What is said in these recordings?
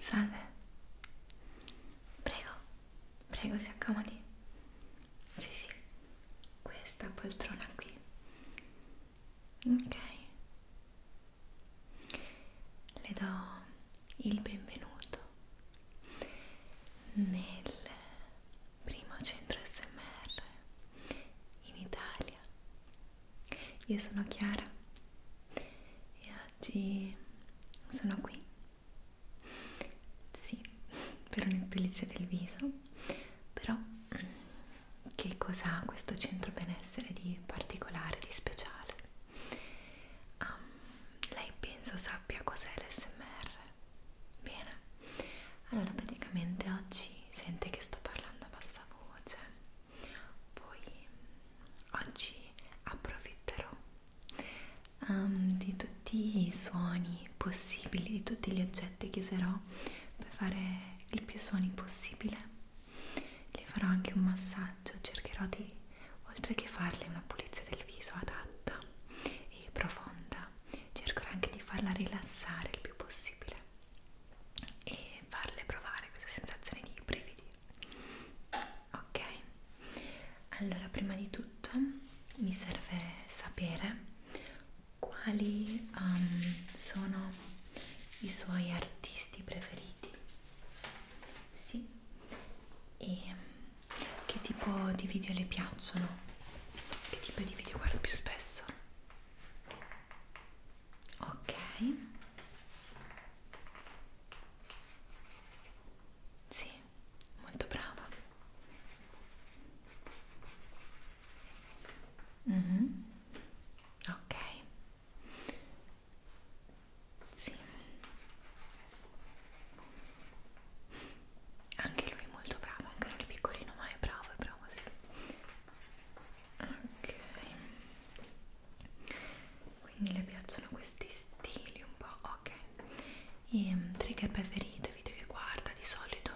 Salve, prego, prego si accomodi. Sì, sì, questa poltrona qui. Ok. Le do il benvenuto nel primo centro smr in Italia io sono Chiara e oggi sono qui sì per un'epilizia del viso però che cosa ha questo centro benessere di particolare di speciale um, lei penso sappia cos'è l'SMR Bene, allora praticamente oggi sente che sto parlando a bassa voce, poi oggi approfitterò um, di tutti i suoni possibili, di tutti gli oggetti che userò per fare il più suoni possibile. Le farò anche un massaggio, cercherò di, oltre che farle una pulizia del viso adatta e profonda, cercherò anche di farla rilassare il più possibile e farle provare questa sensazione di brividi ok allora prima di tutto mi serve sapere quali um, sono i suoi artisti preferiti sì e che tipo di video le piacciono? Che tipo di video guarda più spesso? Ok. Sì, molto brava. Mm -hmm. Ok. Sì anche lui è molto bravo, anche il piccolino ma è bravo, è bravo sì. Ok, quindi le piacciono questi stili un po', ok. E ehm, trigger preferito, video che guarda di solito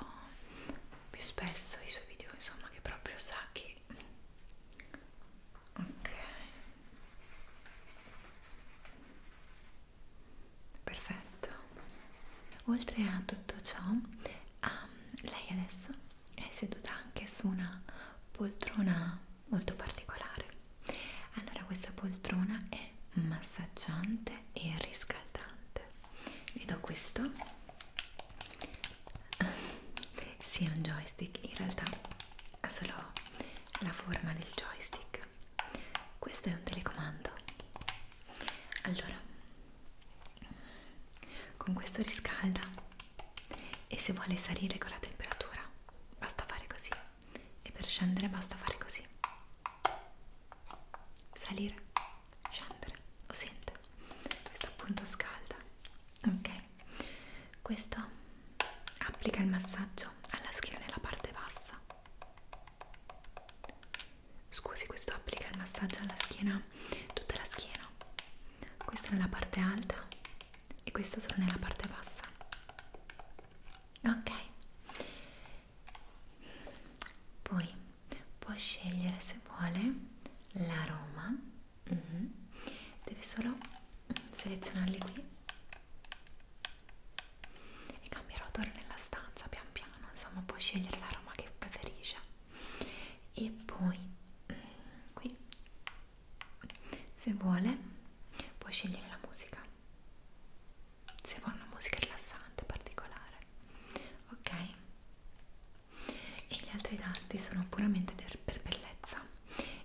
più spesso i suoi video, insomma, che proprio sa che... Ok perfetto oltre a tutto ciò um, lei adesso è seduta anche su una poltrona molto particolare allora questa poltrona è massaggiante e riscaldante vi do questo sì è un joystick in realtà ha solo la forma del joystick questo è un telecomando allora con questo riscalda e se vuole salire con la temperatura basta fare così e per scendere basta fare così salire scendere lo sente questo appunto scalda ok questo applica il massaggio alla schiena e alla parte bassa Scusi, questo applica il massaggio alla schiena, tutta la schiena. Questo nella parte alta e questo solo nella parte bassa. Ok. Poi può scegliere se vuole l'aroma. Mm -hmm. Deve solo selezionarli qui e cambierò odore nella stanza pian piano insomma puoi scegliere l'aroma che preferisce e poi mm, qui se vuole puoi scegliere la musica se vuoi una musica rilassante particolare ok e gli altri tasti sono puramente per bellezza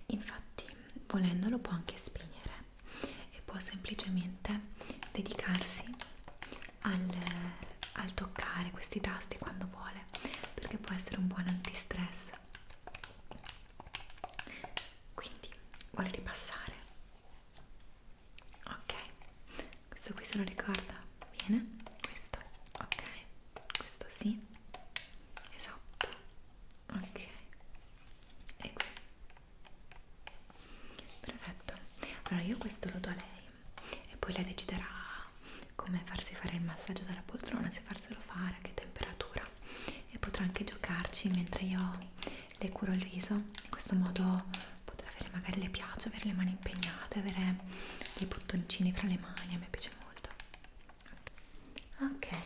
infatti volendolo può anche spegnere e può semplicemente dedicarsi al, al toccare questi tasti quando vuole perché può essere un buon antistress quindi vuole ripassare ok questo qui se lo ricorda bene questo ok questo sì esatto ok e qui perfetto allora io questo lo do a lei e poi lei deciderà come farsi fare il massaggio dalla poltrona se farselo fare a che temperatura e potrà anche giocarci mentre io le curo il viso in questo modo potrà avere magari le piace avere le mani impegnate avere dei bottoncini fra le mani a me piace molto ok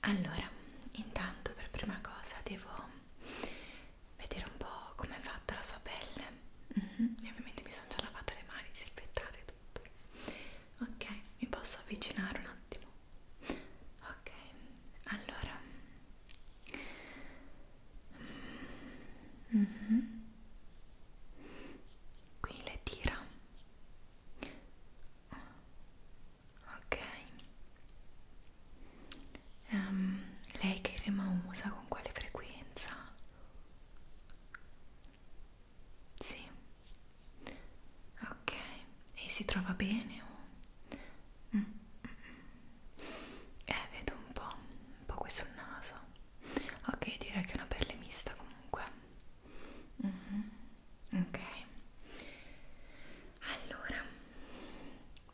allora intanto per prima cosa devo vedere un po' com'è fatta la sua pelle mm -hmm. e ovviamente mi sono già lavato le mani, disinfettate e tutto ok, mi posso avvicinare un attimo ok, allora mm -hmm. qui le tira ok um, lei che crema usa con quale frequenza sì ok e si trova bene o mm. mm, mm. eh vedo un po' un po' qui sul naso ok direi che è una pelle mista comunque mm -hmm. ok allora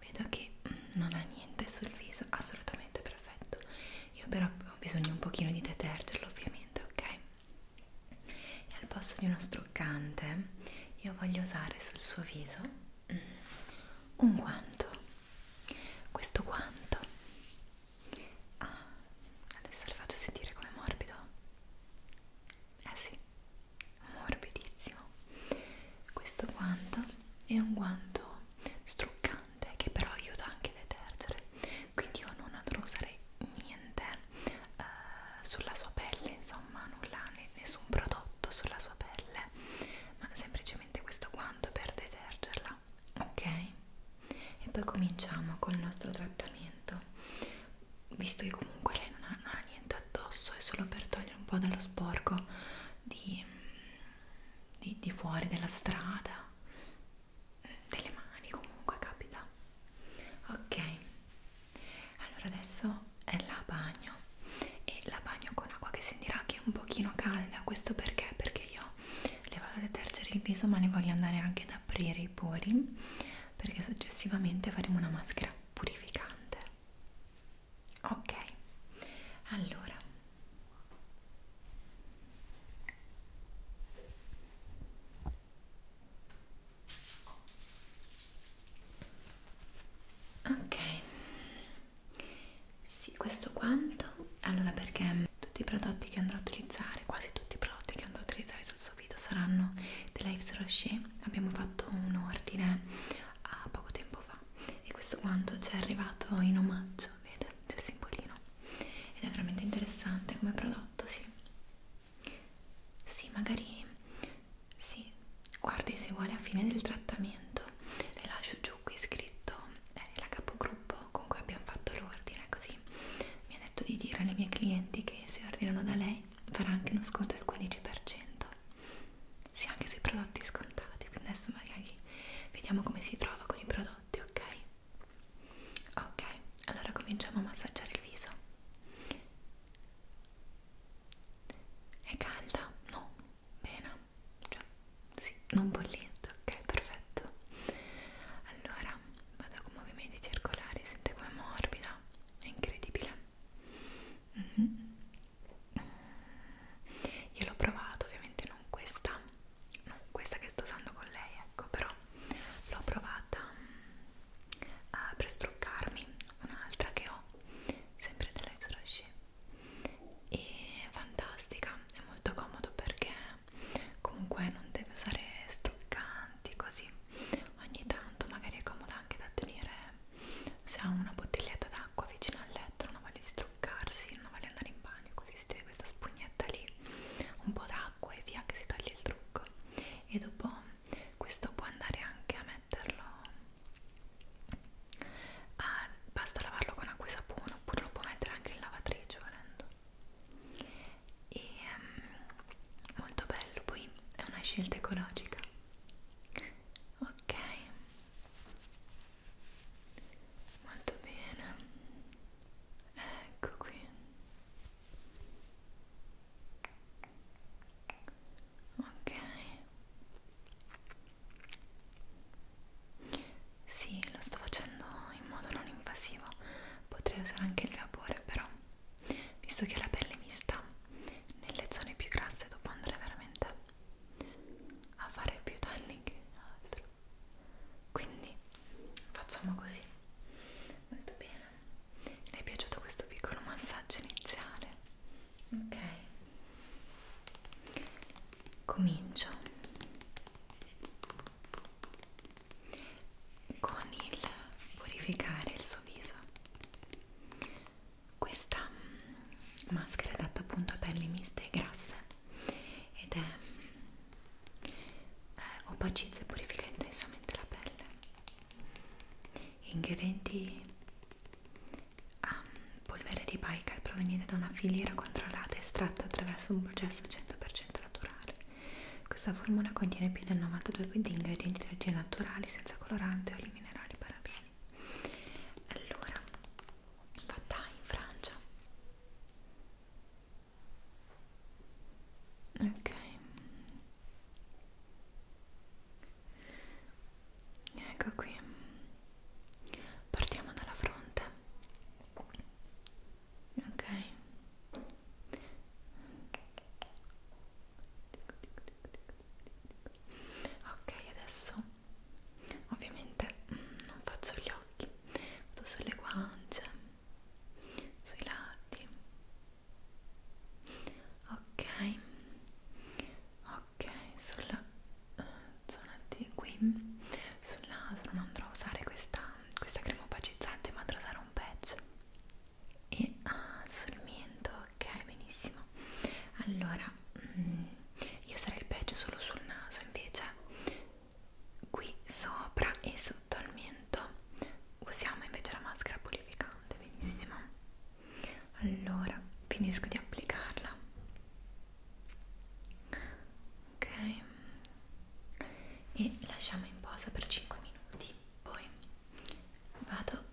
vedo che mm, non ha niente sul viso assolutamente perfetto io però ho bisogno un pochino di detergerlo ovviamente ok e al posto di uno struccante io voglio usare sul suo viso mm, un guanto questo guanto ah, adesso lo faccio sentire come morbido eh sì morbidissimo questo guanto è un guanto struccante che però aiuta anche a detergere quindi io non andrò a usare niente eh, sulla sua pelle insomma nulla, nessun prodotto sulla sua pelle ma semplicemente questo guanto per detergerla ok? e poi cominciamo col nostro trattamento visto che comunque lei non ha, non ha niente addosso è solo per togliere un po' dallo sporco di, di, di fuori della strada eh, delle mani comunque capita ok allora adesso è la bagno e la bagno con acqua che sentirà che è un pochino calda questo perché? perché io le vado a detergere il viso ma ne voglio andare anche ad aprire i pori perché successivamente faremo una maschera purificante ok allora ok sì questo quanto allora perché tutti i prodotti che andrò a utilizzare quasi tutti i prodotti che andrò a utilizzare sul prossimo video saranno The Lives Rocher abbiamo fatto un ordine a poco tempo fa e questo quanto ci è arrivato in omaggio vede c'è il simbolino ed è veramente interessante come prodotto sì sì magari sì guardi se vuole a fine del trattamento le lascio giù qui scritto eh, la capogruppo con cui abbiamo fatto l'ordine così mi ha detto di dire alle mie clienti che se ordinano da lei farà anche uno sconto del 15% sì anche sui prodotti scontati quindi adesso magari vediamo come si trova con i prodotti ok ok allora cominciamo a massaggiare il viso è calda? no bene cioè sì non bollente ok perfetto allora vado con movimenti circolari sente come morbida è incredibile Mm -hmm. Io l'ho provato, ovviamente non questa, non questa che sto usando con lei, ecco, però l'ho provata uh, mm, per struccarmi, un'altra che ho, sempre della Rocher e fantastica, è molto comodo perché comunque non deve usare struccanti così ogni tanto magari è comoda anche da tenere se ha una bottiglietta d'acqua vicino al letto non voglia distruccarsi, non voglia andare in bagno così si tiene questa spugnetta lì un po' d'acqua e via che si toglie il trucco e dopo questo può andare anche a metterlo a, basta lavarlo con acqua e sapone oppure lo può mettere anche in lavatrice volendo e um, molto bello poi è una scelta ecologica ok molto bene ecco qui ok sì lo sto facendo in modo non invasivo potrei usare anche il vapore però visto che la pelle mi sta nelle zone più grasse dopo andare veramente a fare più danni che altro quindi facciamo così molto bene le è piaciuto questo piccolo massaggio iniziale ok comincio con il purificare il suo viso questa mm, maschera è adatta appunto a pelli miste e grasse ed è eh, opacizza e purifica intensamente la pelle. Ingredienti a um, polvere di Baikal proveniente da una filiera controllata estratta attraverso un processo 100% naturale. Questa formula contiene più del 92% di ingredienti di origine naturale senza colorante o i minerali parabeni. Allora, fatta in Francia. Ok. Ecco qui. Partiamo dalla fronte. Ok ok adesso ovviamente mm, non faccio gli occhi vado sulle guance sui lati ok ok sulla uh, zona di qui sul naso non andrò a usare questa, questa crema opacizzante ma andrò a usare un patch e ah, sul mento, ok, benissimo. Allora, mm, io sarei il peggio solo sul naso, invece qui sopra e sotto al mento usiamo invece la maschera purificante, benissimo. Allora, finisco di applicarla. Ok. E lasciamo in posa per 5 minuti poi vado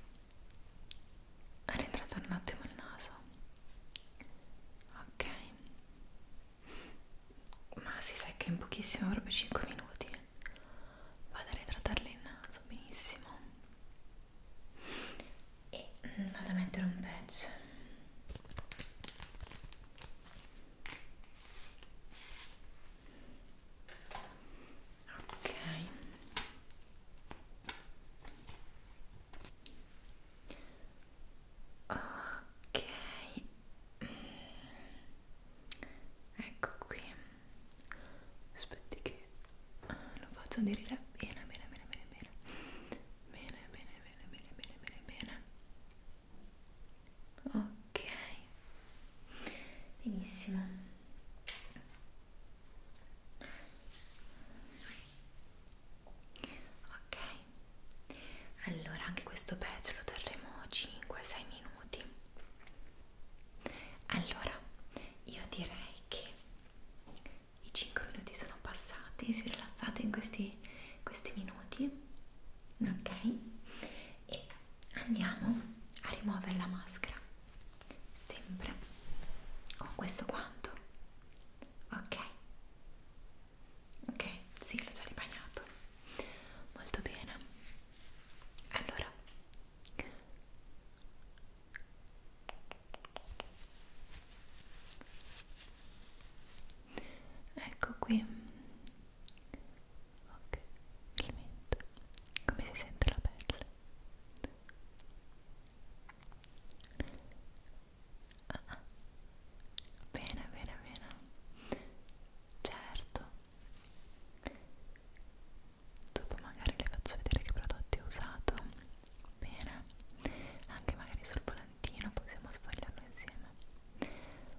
a ritratare un attimo il naso ok ma si secca in pochissimo proprio 5 minuti vado a ritratarle il naso benissimo e vado a mettere un patch ok ok ecco qui aspetti che eh, lo faccio dire bene bene bene bene bene bene bene bene bene bene bene bene ok ok benissimo ok allora anche questo pezzo lo terremo 5-6 minuti allora io direi che i 5 minuti sono passati si rilassate in questi, questi minuti ok e andiamo a rimuovere la maschera sempre con questo guanto ok ok sì l'ho già ribagnato molto bene allora ecco qui ok, il mento come si sente la pelle ah, ah. bene, bene, bene certo dopo magari le faccio vedere che prodotti ho usato bene anche magari sul volantino possiamo sfogliarlo insieme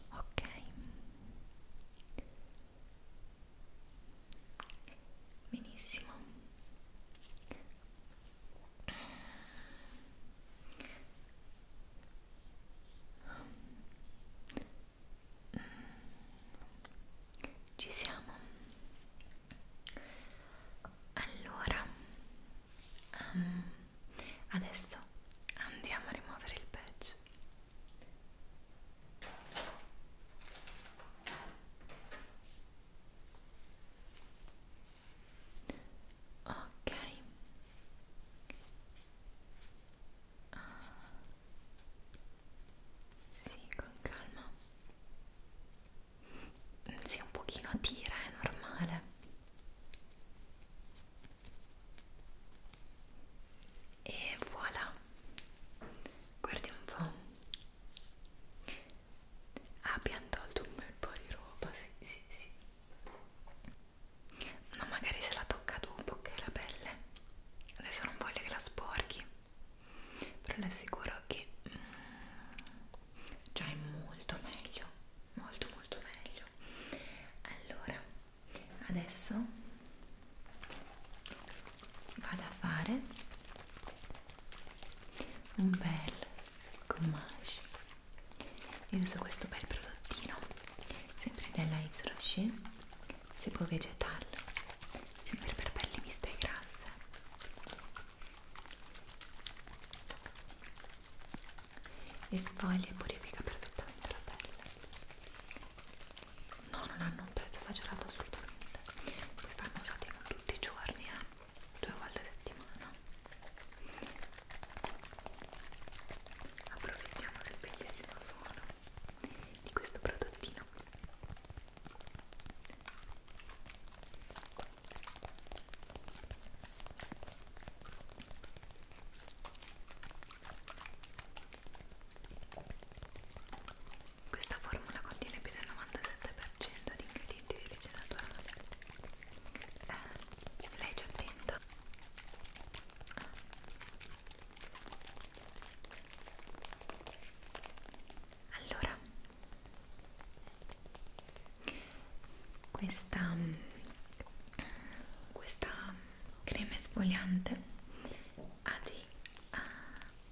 ok benissimo ci siamo allora um, adesso andiamo a rimuovere il pezzo out. Ok. Ah. Sì, con calma. Mm, sì, un pochino a tira, è normale. E voilà guardi un po' ah, abbiamo tolto un bel po' di roba sì sì sì no magari se la tocca dopo che la pelle adesso non voglio che la sporchi però le assicuro che mm, già è molto meglio molto molto meglio allora adesso vado a fare un bel gommage io uso questo bel prodottino sempre della Yves Rocher si può vegetarlo sempre per pelli miste e grasse e sfoglia e purifica perfettamente la pelle no non hanno un prezzo esagerato assolutamente poi vanno usati non tutti i giorni eh? due volte a settimana approfittiamo del bellissimo suono di questo prodottino questa formula contiene più del 97% di ingredienti di origine naturale. Eh, lei ci attenta. Allora, questa, questa crema esfoliante ha dei uh,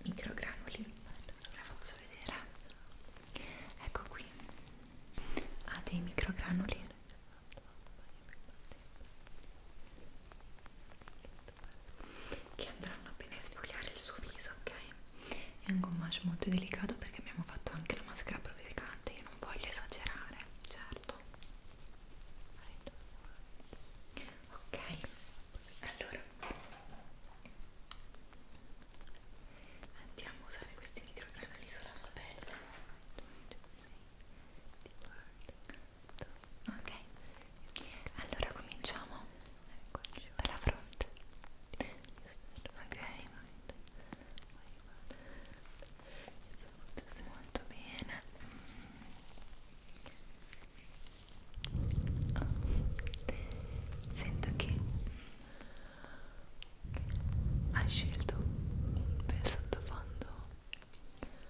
microgranuli adesso ve la faccio vedere ecco qui ha dei microgranuli che andranno appena a sfogliare il suo viso ok è un gommage molto delicato perché abbiamo fatto anche la maschera provocante io non voglio esagerare cioè farlo ok allora andiamo a usare questi microgranuli sulla sua pelle ok allora cominciamo dalla fronte ok molto bene sento che hai scelto un bel sottofondo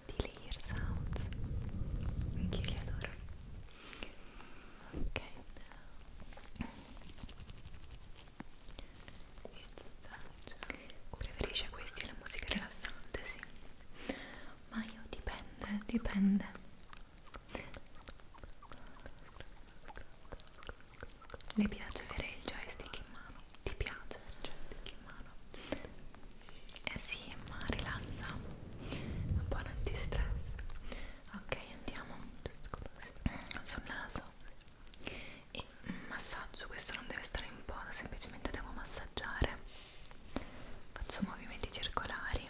di layer sounds anche io li adoro ok it's time preferisce questi la musica rilassante sì ma io dipende dipende le piace avere il joystick in mano ti piace avere il joystick in mano eh sì ma rilassa un buon antistress ok andiamo sul naso e massaggio questo non deve stare in posa semplicemente devo massaggiare faccio movimenti circolari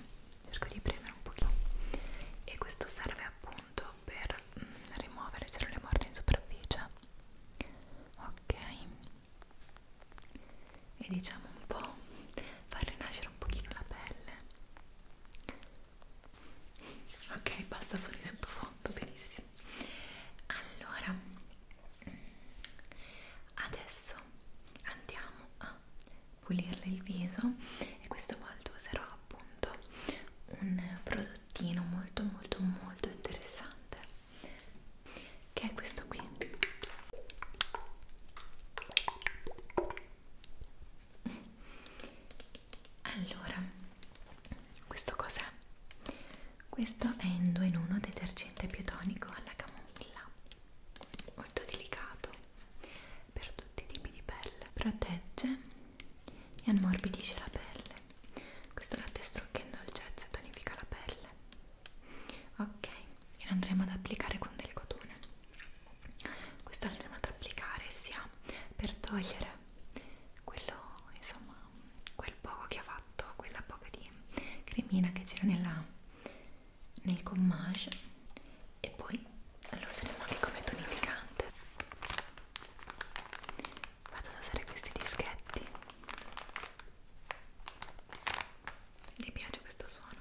cerco di premere un pochino e questo serve appunto per mm, rimuovere cellule morte in superficie ok e diciamo un po' far rinascere un pochino la pelle ok basta solo il sottofondo benissimo allora adesso andiamo a pulirle il viso e questa volta userò appunto un prodottino molto molto molto interessante che è questo qui allora questo cos'è questo è in 2 in 1 detergente biotonico alla camomilla molto delicato per tutti i tipi di pelle protegge e ammorbidisce la pelle questo latte strucca in dolcezza e tonifica la pelle ok e lo andremo ad applicare con del cotone questo lo andremo ad applicare sia per togliere quello insomma quel poco che ha fatto fatto quella poca di cremina che c'era nel gommage e poi lo useremo anche come tonificante vado ad usare questi dischetti mi piace questo suono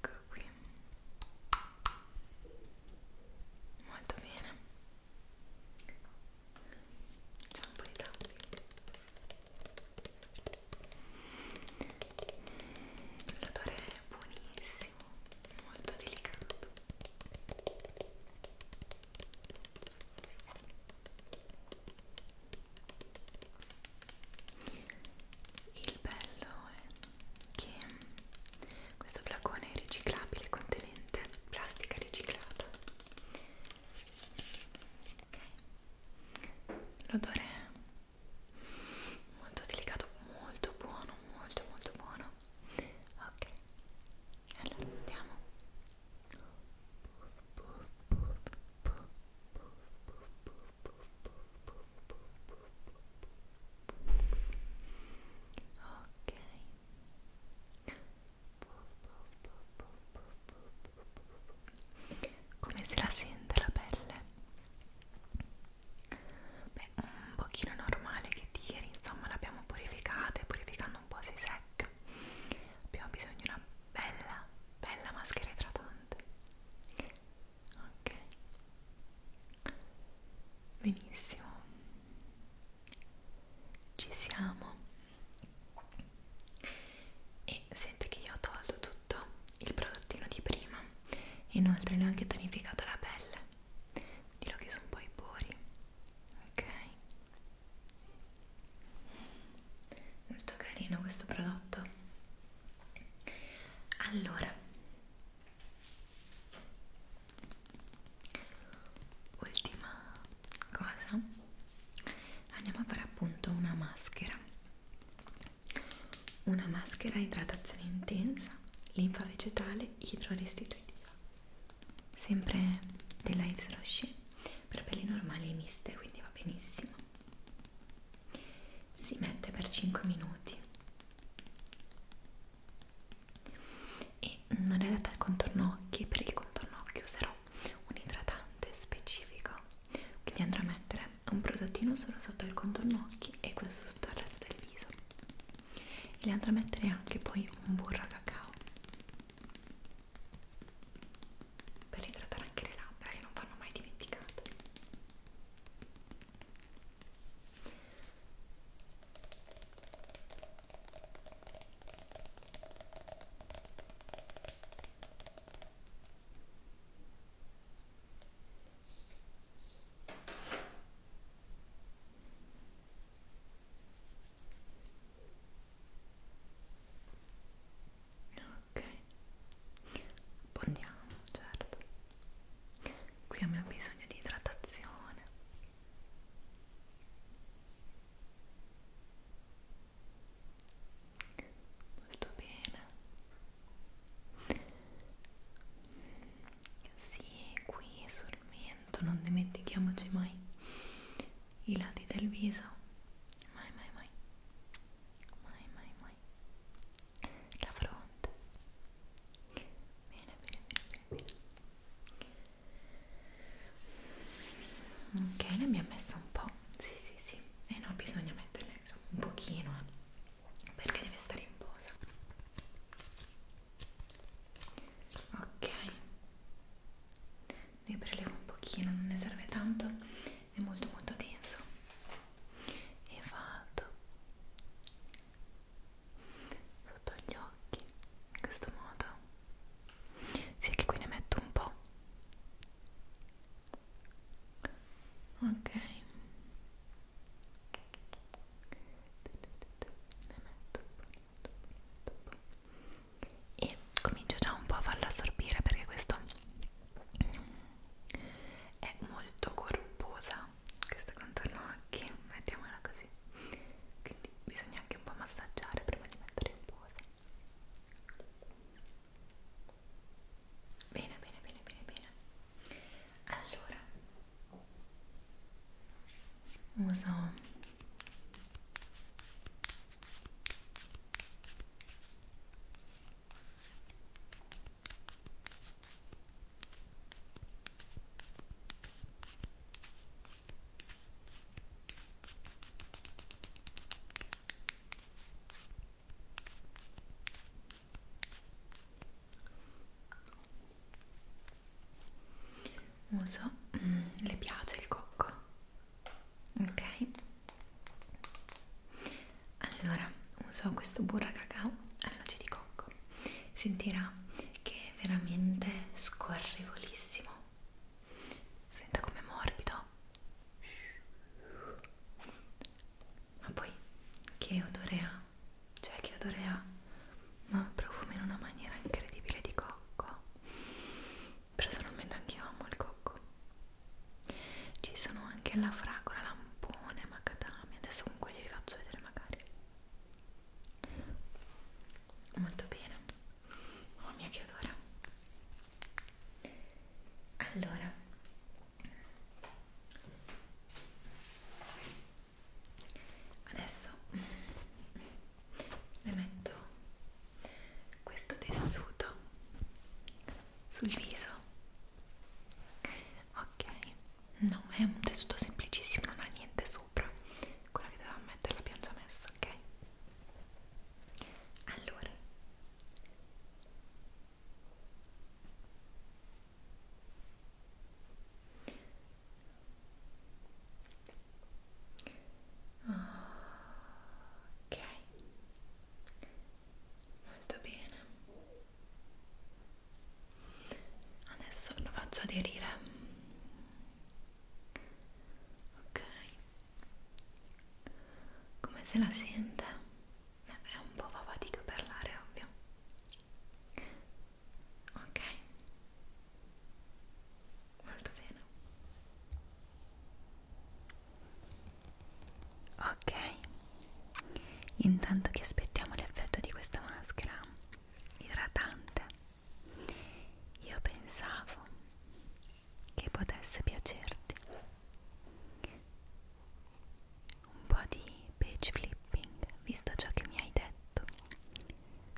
Ecco qui. Molto bene c'è un po' di tappi l'odore è buonissimo molto delicato il bello è che questo flacone è riciclabile contenente plastica riciclata ok l'odore è molto delicato molto buono molto molto buono ok allora andiamo ok come se la sente la pelle? Beh, un pochino normale che tiri, insomma l'abbiamo purificata e purificando un po' si secca. Abbiamo bisogno di una bella, bella maschera idratante. Ok. Benissimo ci siamo e senti che io ho tolto tutto il prodottino di prima e inoltre ne ho anche tonificato la pelle quindi l'ho chiuso un po' i pori ok molto carino questo prodotto allora ultima cosa andiamo a fare appunto una maschera una maschera idratazione intensa linfa vegetale idroristitutiva sempre della Yves Rocher per pelli normali e miste quindi va benissimo si mette per 5 minuti e non è adatta al contorno occhi per il contorno occhi userò un idratante specifico quindi andrò a mettere un prodottino solo sotto il contorno occhi e questo sotto il resto del viso e le andrò a mettere anche poi un burro a cacao per idratare anche le labbra che non vanno mai dimenticate Ok, pondiamo, certo. Qui abbiamo bisogno di idratazione molto bene sì qui sul mento non dimentichiamoci mai i lati del viso mai mai mai mai mai mai la fronte bene bene bene bene, bene ok ne abbiamo messo un po' sì sì sì e eh no bisogna metterne un pochino eh, perché deve stare in posa ok ne prelevo un pochino non ne serve tanto è molto molto denso e vado sotto gli occhi in questo modo sì che qui ne metto un po' ok ne metto un po', ne metto un po', ne metto un po'. e comincio già un po' a farla assorbire perché questo è molto corposa questa contorno occhi mettiamola così quindi bisogna anche un po' massaggiare prima di mettere in pose bene bene bene bene bene allora uso uso mm, le piace il cocco ok allora uso questo burra cacao alla noce di cocco sentirà che è veramente scorrevolissimo senta come morbido ma poi che odore ha cioè che odore ha ma profuma in una maniera incredibile di cocco personalmente anch'io amo il cocco ci sono anche la fragola lampone macadamia adesso comunque li faccio vedere magari molto bene mamma mia che odore allora adesso le metto questo tessuto sul viso ok no è un tessuto semplicissimo non ha niente sopra quella che doveva mettere la piancia messa, ok? Allora ok molto bene adesso lo faccio aderire ok come se la sente? è un po' fa fatica parlare ovvio ok molto bene ok intanto che aspettiamo l'effetto di questa maschera idratante io pensavo che potesse piacerti un po' di page flipping, visto ciò che mi hai detto,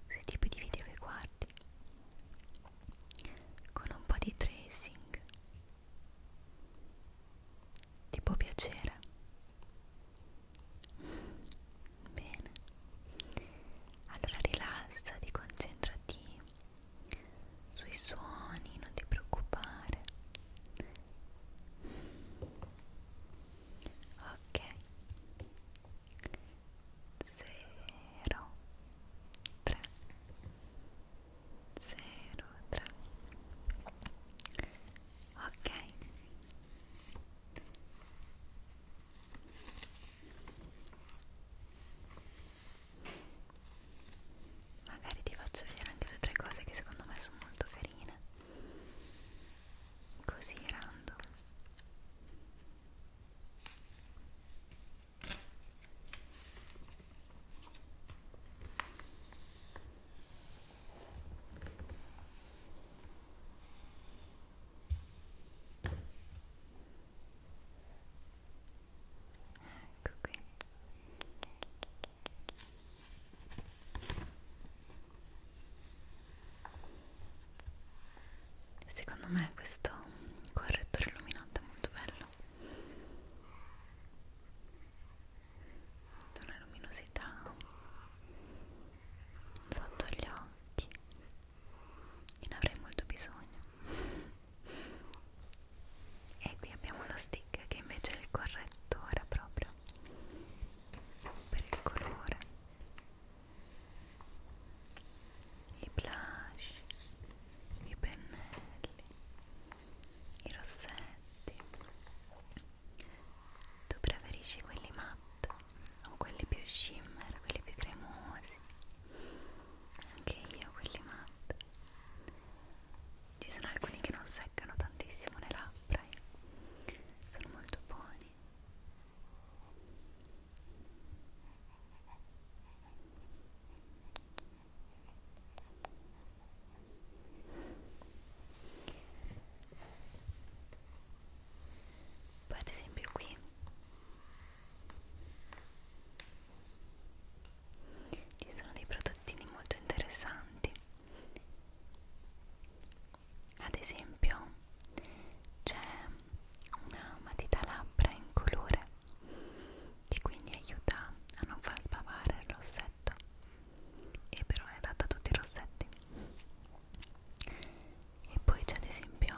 sui tipi di video che guardi, con un po' di tracing, ti può piacere. Bene, allora rilassati, concentrati sui suoni, non ti preoccupare. Ok, zero, tre, zero, tre. Ok, Magari ti faccio vedere anche due o tre cose che secondo me sono molto carine. Così random. Ecco qui. Secondo me questo correttore illuminante è molto bello. Una luminosità sotto gli occhi e ne avrei molto bisogno e qui abbiamo lo stick che invece è il correttore proprio per il colore i blush i pennelli i rossetti tu preferisci quelli matte o quelli più shimmer, quelli più cremosi? Anche io quelli matte. Ci sono alcuni che non seccano tantissimo le labbra e eh. sono molto buoni poi ad esempio qui ci sono dei prodottini molto interessanti ad esempio c'è una matita labbra in colore che quindi aiuta a non far sbavare il rossetto e però è adatta a tutti i rossetti e poi c'è ad esempio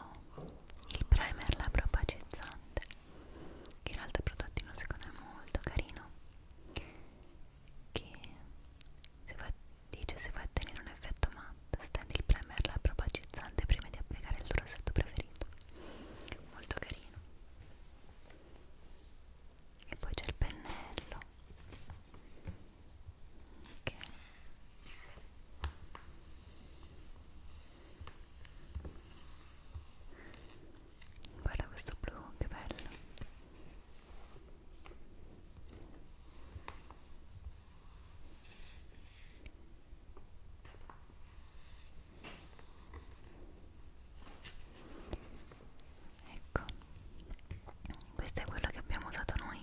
il primer labbro opacizzante che in realtà è prodottino secondo me molto carino che se vuoi, dice se vuoi ottenere un effetto matte stendi il primer labbro opacizzante prima di applicare il tuo rossetto preferito molto carino e poi c'è il pennello ok guarda questo blu che bello ecco questo è quello che abbiamo usato noi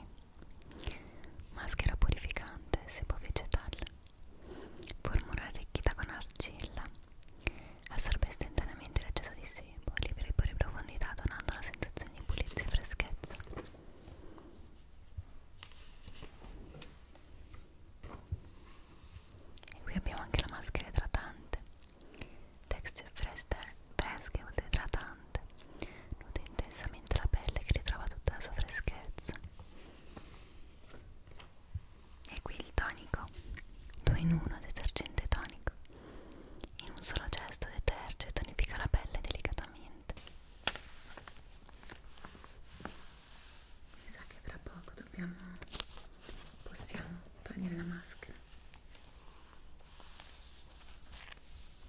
Maschera purificante, sebo vegetale. Formula arricchita con argilla. Assorbe istantaneamente l'eccesso di sebo, libera i pori profondità donando la sensazione di pulizia e freschezza. E qui abbiamo anche la maschera idratante texture fresca e oltre idratante nutre intensamente la pelle che ritrova tutta la sua freschezza e qui il tonico 2 in 1 detergente tonico in un solo gesto deterge e tonifica la pelle delicatamente mi sa che fra poco dobbiamo possiamo togliere la maschera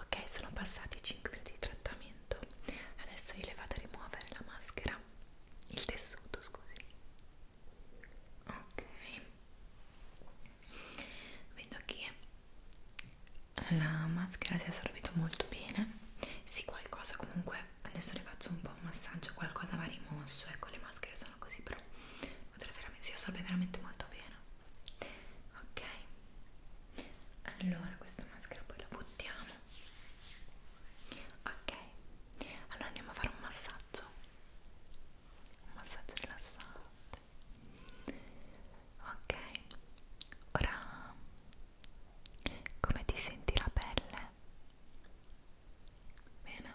ok sono passati 5 minuti di trattamento adesso io le vado a rimuovere la maschera il tessuto scusi ok vedo che la maschera si è assorbita molto bene sì qualcosa comunque adesso le faccio un po' un massaggio qualcosa va rimosso ecco le maschere sono così però potrebbe veramente si assorbe veramente molto bene ok allora questa maschera poi la buttiamo ok allora andiamo a fare un massaggio un massaggio rilassante ok ora come ti senti la pelle bene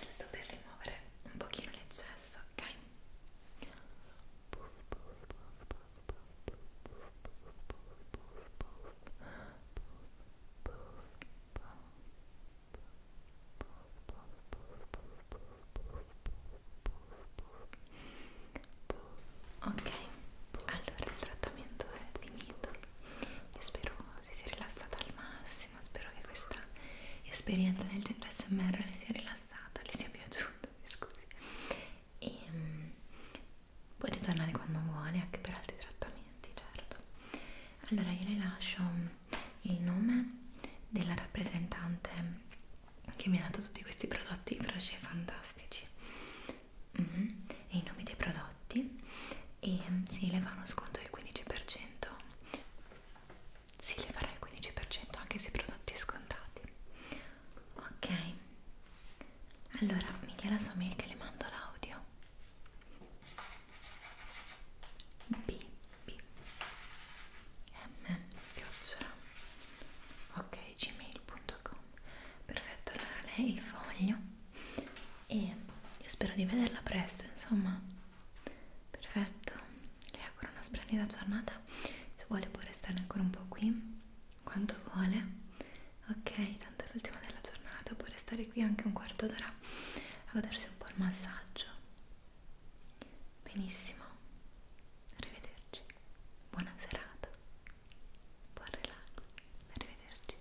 giusto per rimuovere un pochino l'eccesso, ok? Ok, allora il trattamento è finito. Io spero si sia rilassata al massimo massimo spero che questa esperienza nel centro smr le sia rilassata le sia piaciuta scusi e um, puoi ritornare quando vuole anche per altri trattamenti certo allora io le lascio mm, il nome della rappresentante che mi ha dato tutti questi prodotti frasce fantastici mm -hmm. e i nomi dei prodotti e si sì, le fa uno sconto del 15% si leverà il 15% anche sui prodotti scontati ok allora mi dia la sua mail che le mando l'audio b b m chiocciola ok gmail.com perfetto allora lei il foglio e io spero di vederla presto insomma perfetto le auguro una splendida giornata se vuole può restare ancora un po' qui quanto vuole ok tanto è l'ultima della giornata può restare qui anche un quarto d'ora a godersi un po' il massaggio benissimo arrivederci buona serata buon relax arrivederci